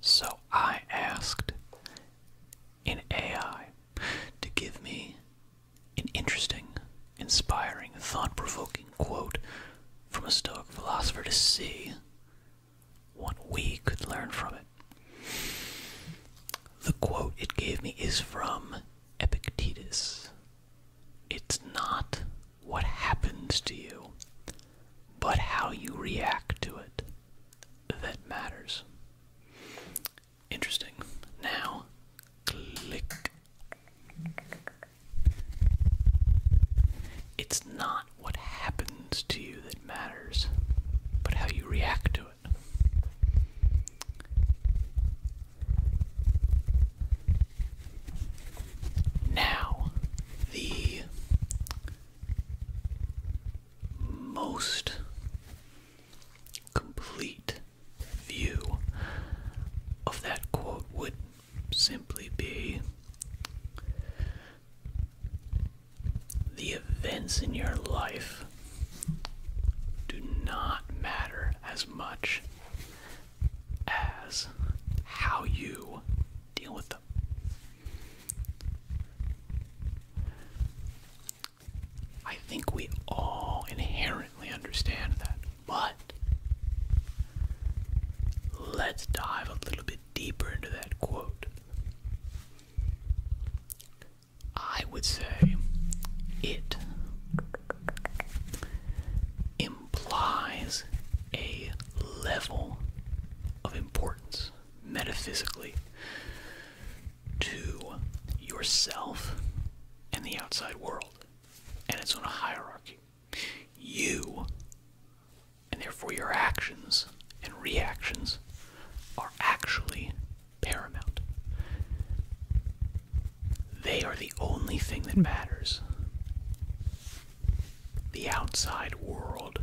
So I asked an AI to give me an interesting, inspiring, thought provoking quote from a Stoic philosopher to see what we could learn from it. The quote it gave me is from Epictetus It's not what happens to you, but how you react to it that matters. Interesting. Now, click. It's not what happens to you that matters, but how you react to it. Now, the most complete view of that quote would simply be the events in your life do not matter as much as how you deal with them. I think we all inherently understand that, but let's dive a little bit deeper into that quote. I would say it implies a level of importance metaphysically to yourself and the outside world. And it's on a hierarchy. You, and therefore your actions and reactions, are actually paramount. They are the only thing that matters the outside world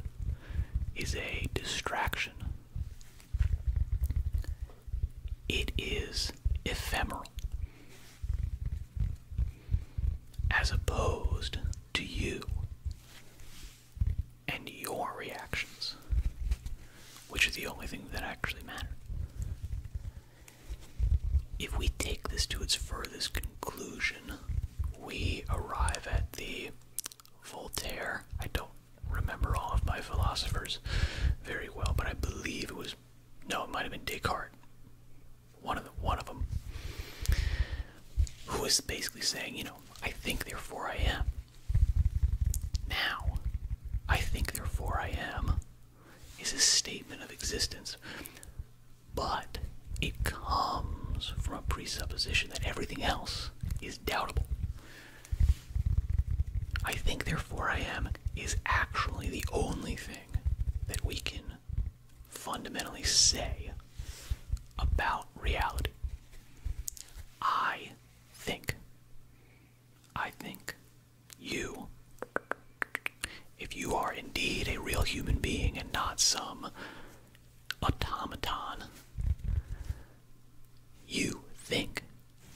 is a distraction. It is ephemeral. As opposed to you and your reactions, which are the only thing that actually matter. If we take this to its furthest conclusion, we arrive at the Voltaire. I don't remember all of my philosophers very well, but I believe it was no, it might have been Descartes. One of the, one of them, who is basically saying, you know, I think, therefore I am. Now, I think, therefore I am, is a statement of existence but it comes from a presupposition that everything else is doubtful. I think, therefore, I am is actually the only thing that we can fundamentally say about reality. I think. I think you, if you are indeed a real human being and not some automaton. You think.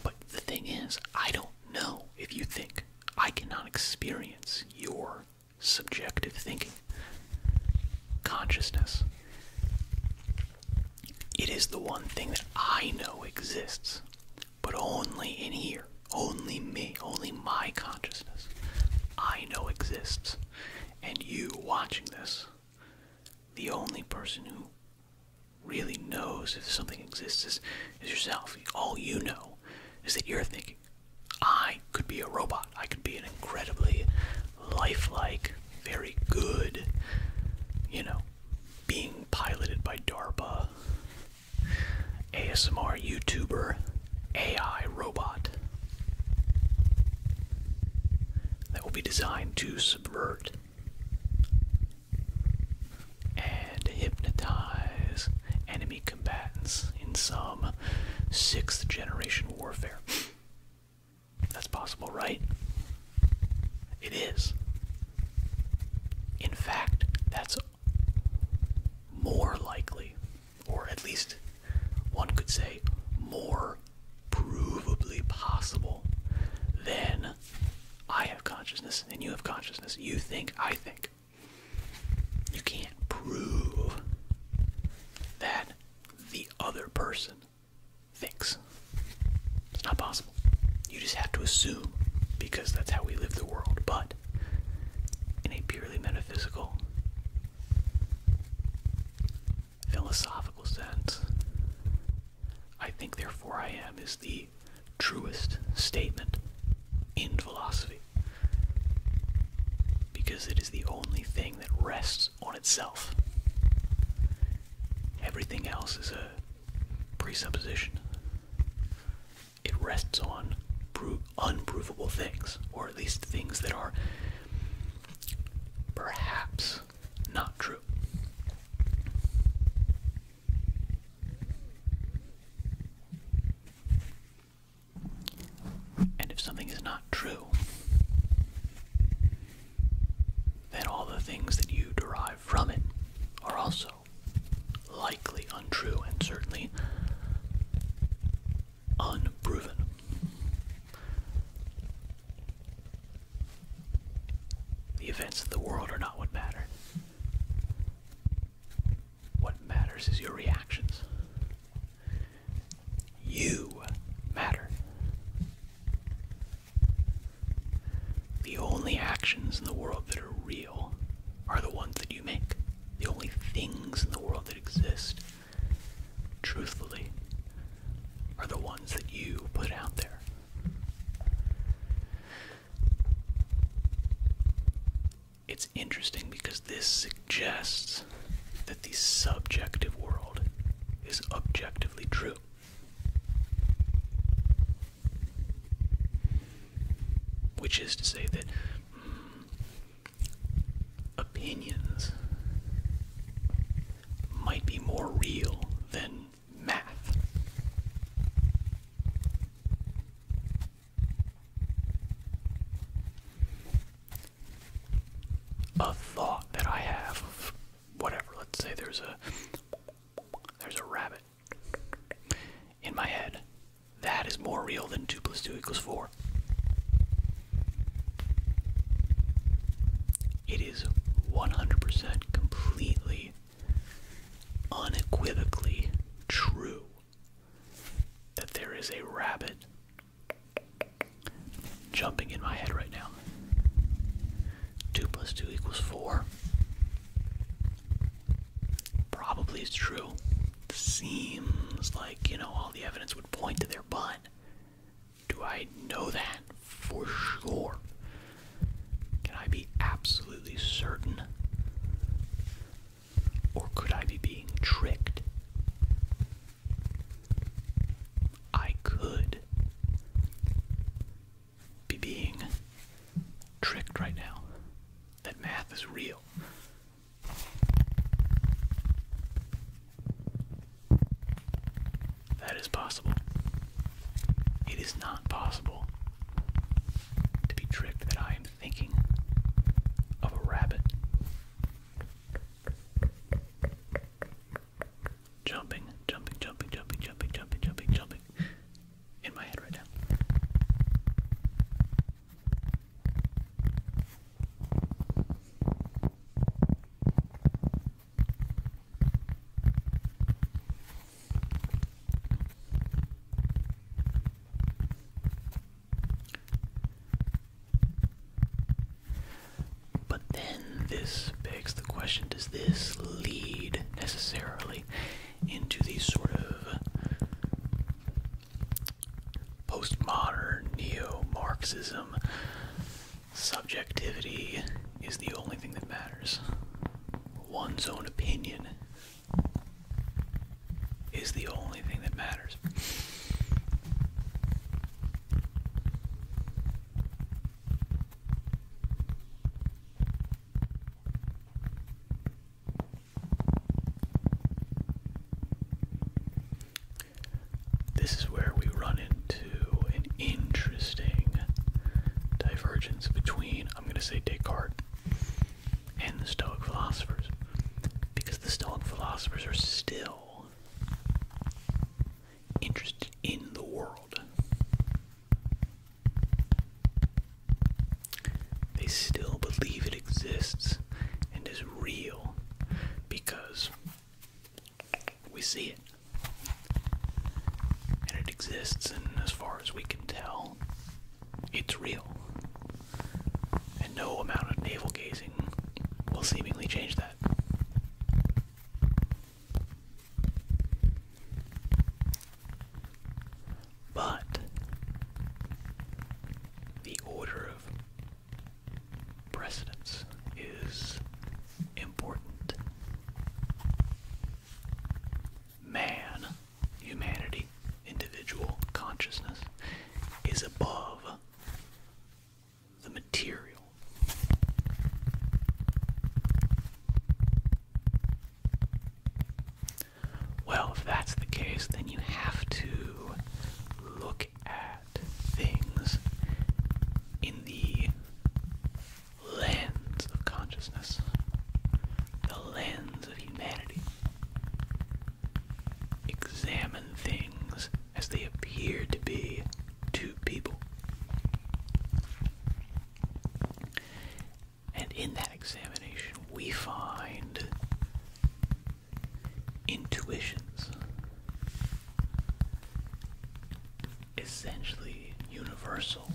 But the thing is, I don't know if you think. I cannot experience your subjective thinking. Consciousness. It is the one thing that I know exists, but only in here. Only me, only my consciousness. I know exists and you watching this, the only person who really knows if something exists is, yourself. All you know is that you're thinking, I could be a robot. I could be an incredibly lifelike, very good, you know, being piloted by DARPA, ASMR YouTuber AI robot that will be designed to subvert and hypnotize enemy combatants in some sixth generation warfare. That's possible, right? It is. In fact, that's more likely or at least one could say more provably possible, than I have consciousness and you have consciousness. You think, I think. You can't prove that the other person thinks. It's not possible. You just have to assume because that's how we live the world. But in a purely metaphysical philosophical sense, I think therefore I am is the truest statement in philosophy because it is the only thing that rests on itself. Everything else is a presupposition. It rests on unprovable things, or at least things that are perhaps not true. And if something is not true, then all the things that you derive from it are also likely untrue and certainly unproven. The events of the world are not what matter. What matters is your reactions. You matter. The only actions in the world that are real are the ones that you make. The only things in the world that exist truthfully, are the ones that you put out there. It's interesting because this suggests that the subjective world is objectively true. Which is to say that hmm, opinions might be more real than math. A thought that I have of whatever, let's say there's a there's a rabbit in my head. That is more real than 2 plus 2 equals 4. It is 100% completely, unequivocally true that there is a rabbit jumping in my head right now. 2 plus 2 equals 4. Probably is true. Seems like, you know, all the evidence would point to there. But Do I know that for sure? Can I be absolutely certain? Or could I be being tricked? I could be being tricked right now that math is real. That is possible. It is not possible to be tricked that I am thinking of a rabbit jumping, jumping, jumping, jumping, jumping, jumping, jumping, jumping in my head right now. But then this begs the question does this lead necessarily into these sort of postmodern neo Marxism, subjectivity is the only thing that matters. One's own opinion is the only thing that matters. This is where we run into an interesting divergence between, I'm going to say, Descartes and the Stoic philosophers. Because the Stoic philosophers are still interested in the world, they still believe it exists and is real because we see it. And it exists, and as far as we can tell, it's real. And no amount of navel gazing will seemingly change that. But the order of Precedence is important. Man, humanity, individual consciousness, is above the material. Well, if that's the case, then you have to look at things in the lens of consciousness, the lens of humanity. Examine things as they appear to be to people. And in that examination, we find intuitions, essentially universal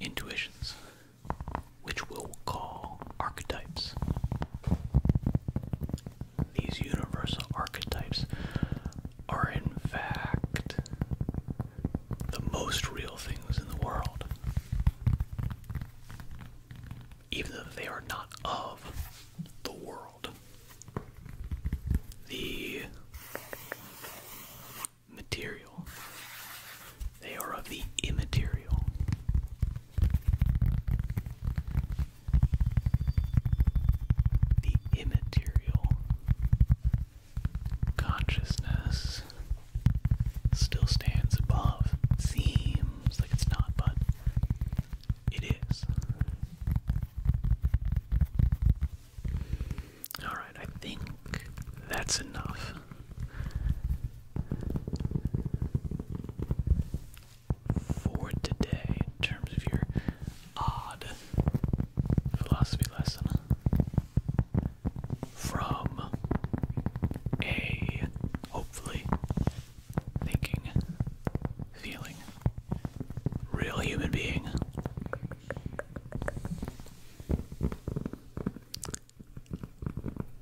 intuitions, which we'll call archetypes. These universal archetypes are, in fact, the most real things in the world even though they are not of the world. The material, they are of the immaterial. The immaterial consciousness still stands above. Seems like it's not, but it is. Alright, I think that's enough for today in terms of your odd philosophy lesson from a hopefully thinking, feeling, real human being.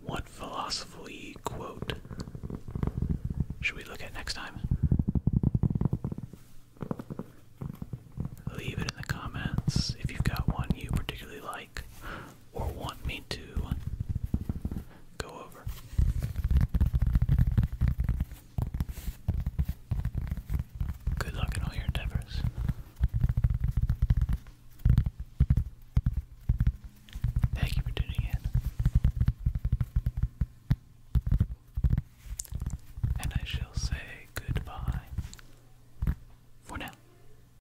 What philosophy quote should we look at next time? Leave it in the comments if you've got one you particularly like or want me to go over. Good luck in all your endeavors. Thank you for tuning in. And I shall say goodbye for now.